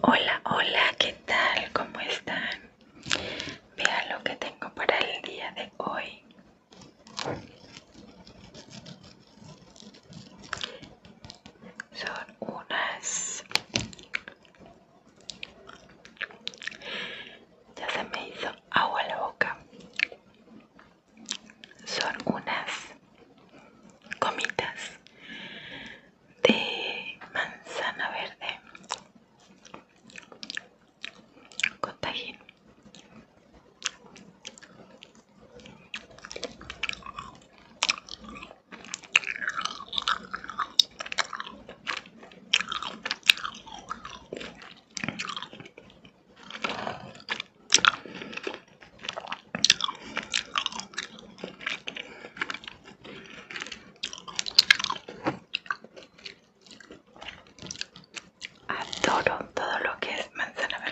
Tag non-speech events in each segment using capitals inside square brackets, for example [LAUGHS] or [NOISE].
Hola, hola, ¿qué tal? ¿Cómo están? Vean lo que tengo para el día de hoy. Son unas ya se me hizo agua la boca. Son unas comitas de manzana verde con Adoro todo lo que es manzana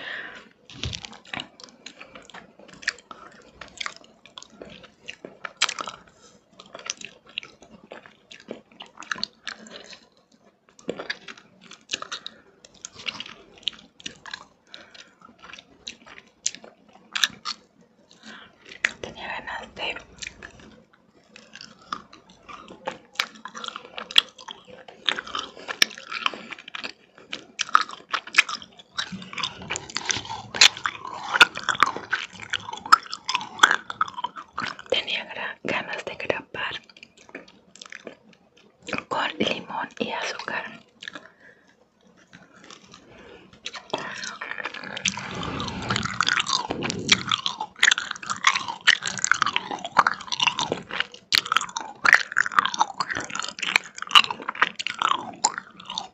Tenía ganas de tenía ganas de grabar con limón y azúcar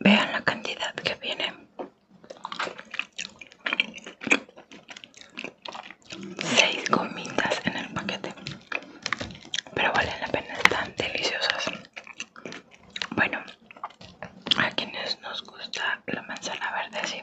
Vean la cantidad que viene. Seis gomitas en el paquete. Pero valen la pena, están deliciosas. Bueno, a quienes nos gusta la manzana verde, sí.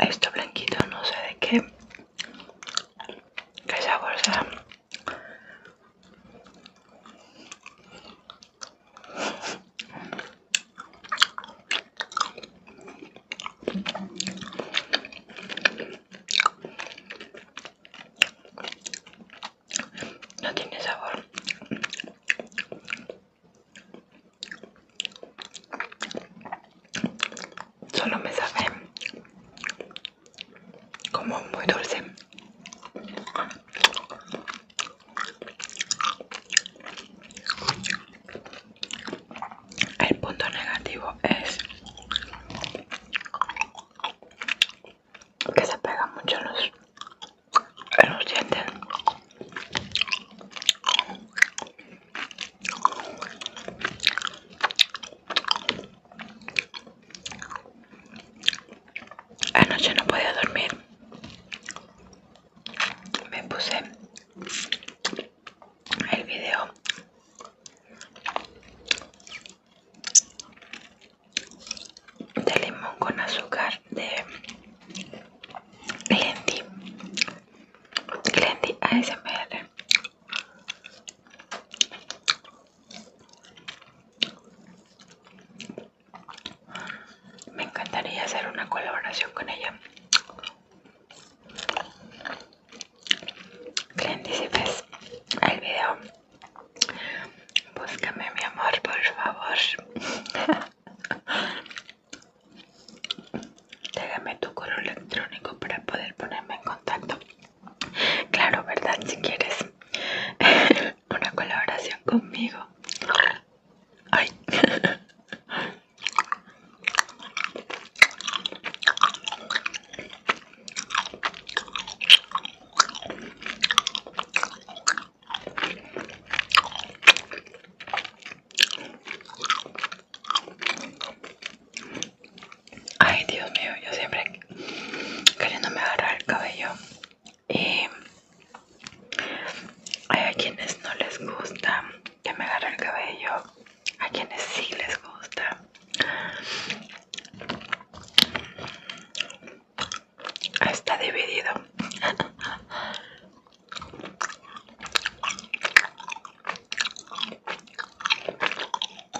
Esto blanquito no sé de qué. ¿Qué sabor será? No tiene sabor. Solo me sabe como muy dulce. El punto negativo es que se pegan mucho los, Anoche no podía dormir. Me puse el video de limón con azúcar de Glendy Glendy ASMR me encantaría hacer una colaboración con ella. Cliente, si ves el video, búscame mi amor, por favor. [LAUGHS] Déjame tu correo electrónico para poder ponerme en contacto. Claro, ¿verdad? Si quieres. [LAUGHS] una colaboración conmigo. Ay. Ay, Dios mío, yo siempre queriéndome agarrar el cabello y eh, hay a quienes no les gusta que me agarre el cabello, a quienes sí les gusta. Está dividido.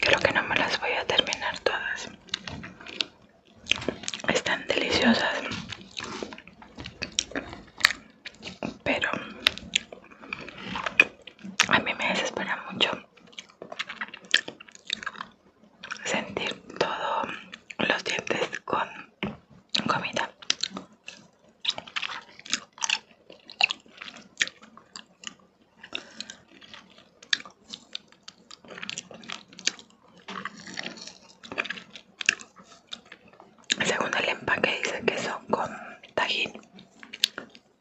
Creo que no me las voy a terminar todas. Están deliciosas. Pero a mí me desespera mucho sentir todos los dientes con comida. Según el empaque dice que son con tajín,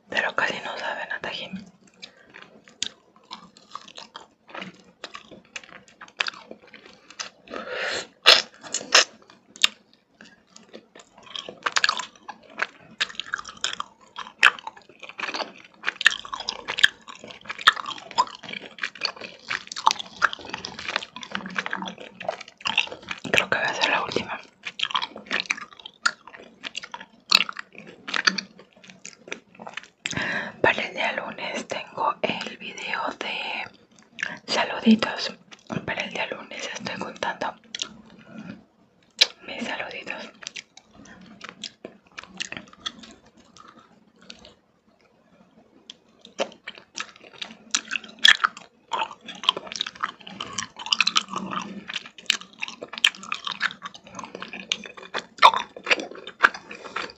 pero casi no saben a tajín. Creo que va a ser la última. Para el día lunes tengo el video de saluditos. Para el día lunes estoy contando mis saluditos.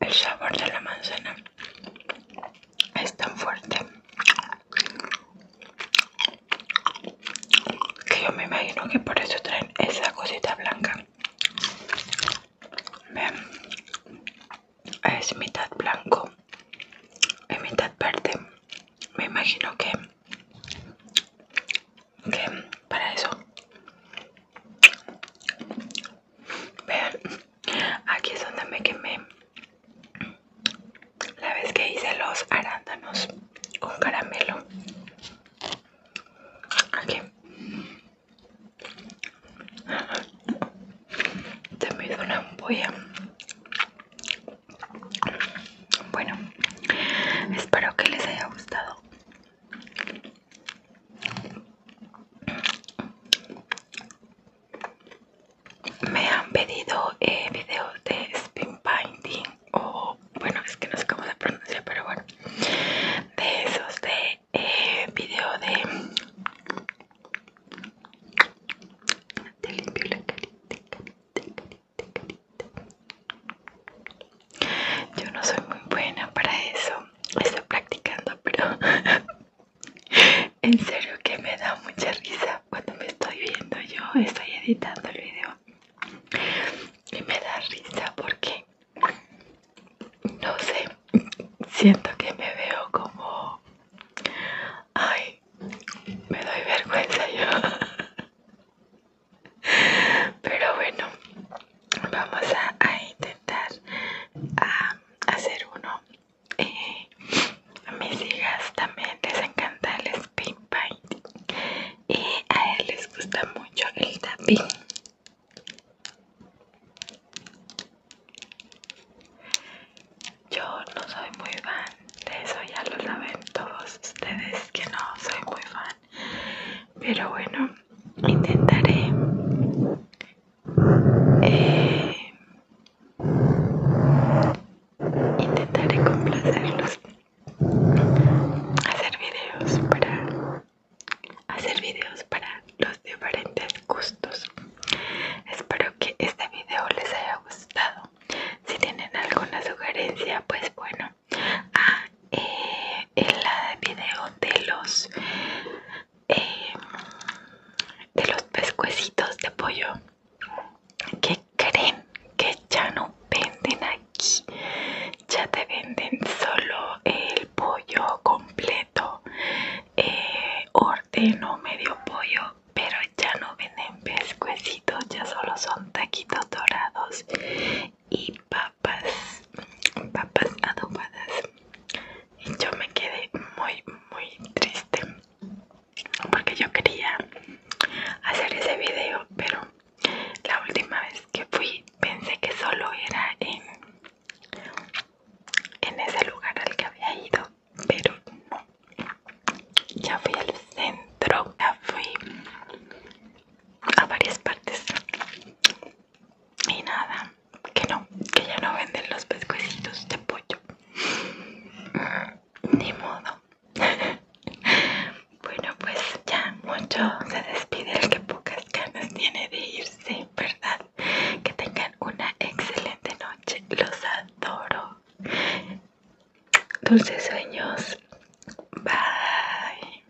El sabor de la manzana es tan fuerte que yo me imagino que por eso traen esa cosita blanca es mitad blanco y mitad verde me imagino que que para eso vean aquí es donde me quemé la vez que hice los arándanos con caramelo aquí te me hizo una ampolla bueno espero que les haya gustado me han pedido eh, videos de spin binding o bueno es que no sé cómo se pronuncia pero bueno de esos de eh, video de te limpio la carita, carita, carita, carita. yo no soy muy buena para eso estoy practicando pero [LAUGHS] En serio que me da mucha risa cuando me estoy viendo yo, estoy editando el video y me da risa porque no sé, siento que me veo como, ay, me doy vergüenza yo. Pero bueno, vamos a, intentar a hacer uno a eh, mis hijas también les encanta el spin paint y a él les gusta mucho el tapín. yo no soy muy fan de eso ya lo saben todos ustedes que no soy muy fan pero bueno intentaré eh, Intentaré complacerlos, hacer videos para hacer videos para los diferentes gustos. Espero que este video les haya gustado. Si tienen alguna sugerencia, pues bueno, ah, el eh, video de los eh, de los pescuecitos de pollo que creen que ya no venden aquí ya te venden solo el pollo completo eh, Ordeno medio pollo pero ya no venden pescuecitos ya solo son taquitos dorados y papas papas adobadas y yo me quedé muy muy triste porque yo quería hacer ese video pero la última vez que fui pensé que solo era en, en ese lugar al que había ido pero no ya fui al centro ya fui a varias partes y nada, que no, que ya no venden los pescuecitos de pollo. Mm, ni modo. [LAUGHS] bueno, pues ya mucho se despide el que pocas ganas tiene de irse, ¿verdad? Que tengan una excelente noche. Los adoro. Dulces sueños. Bye.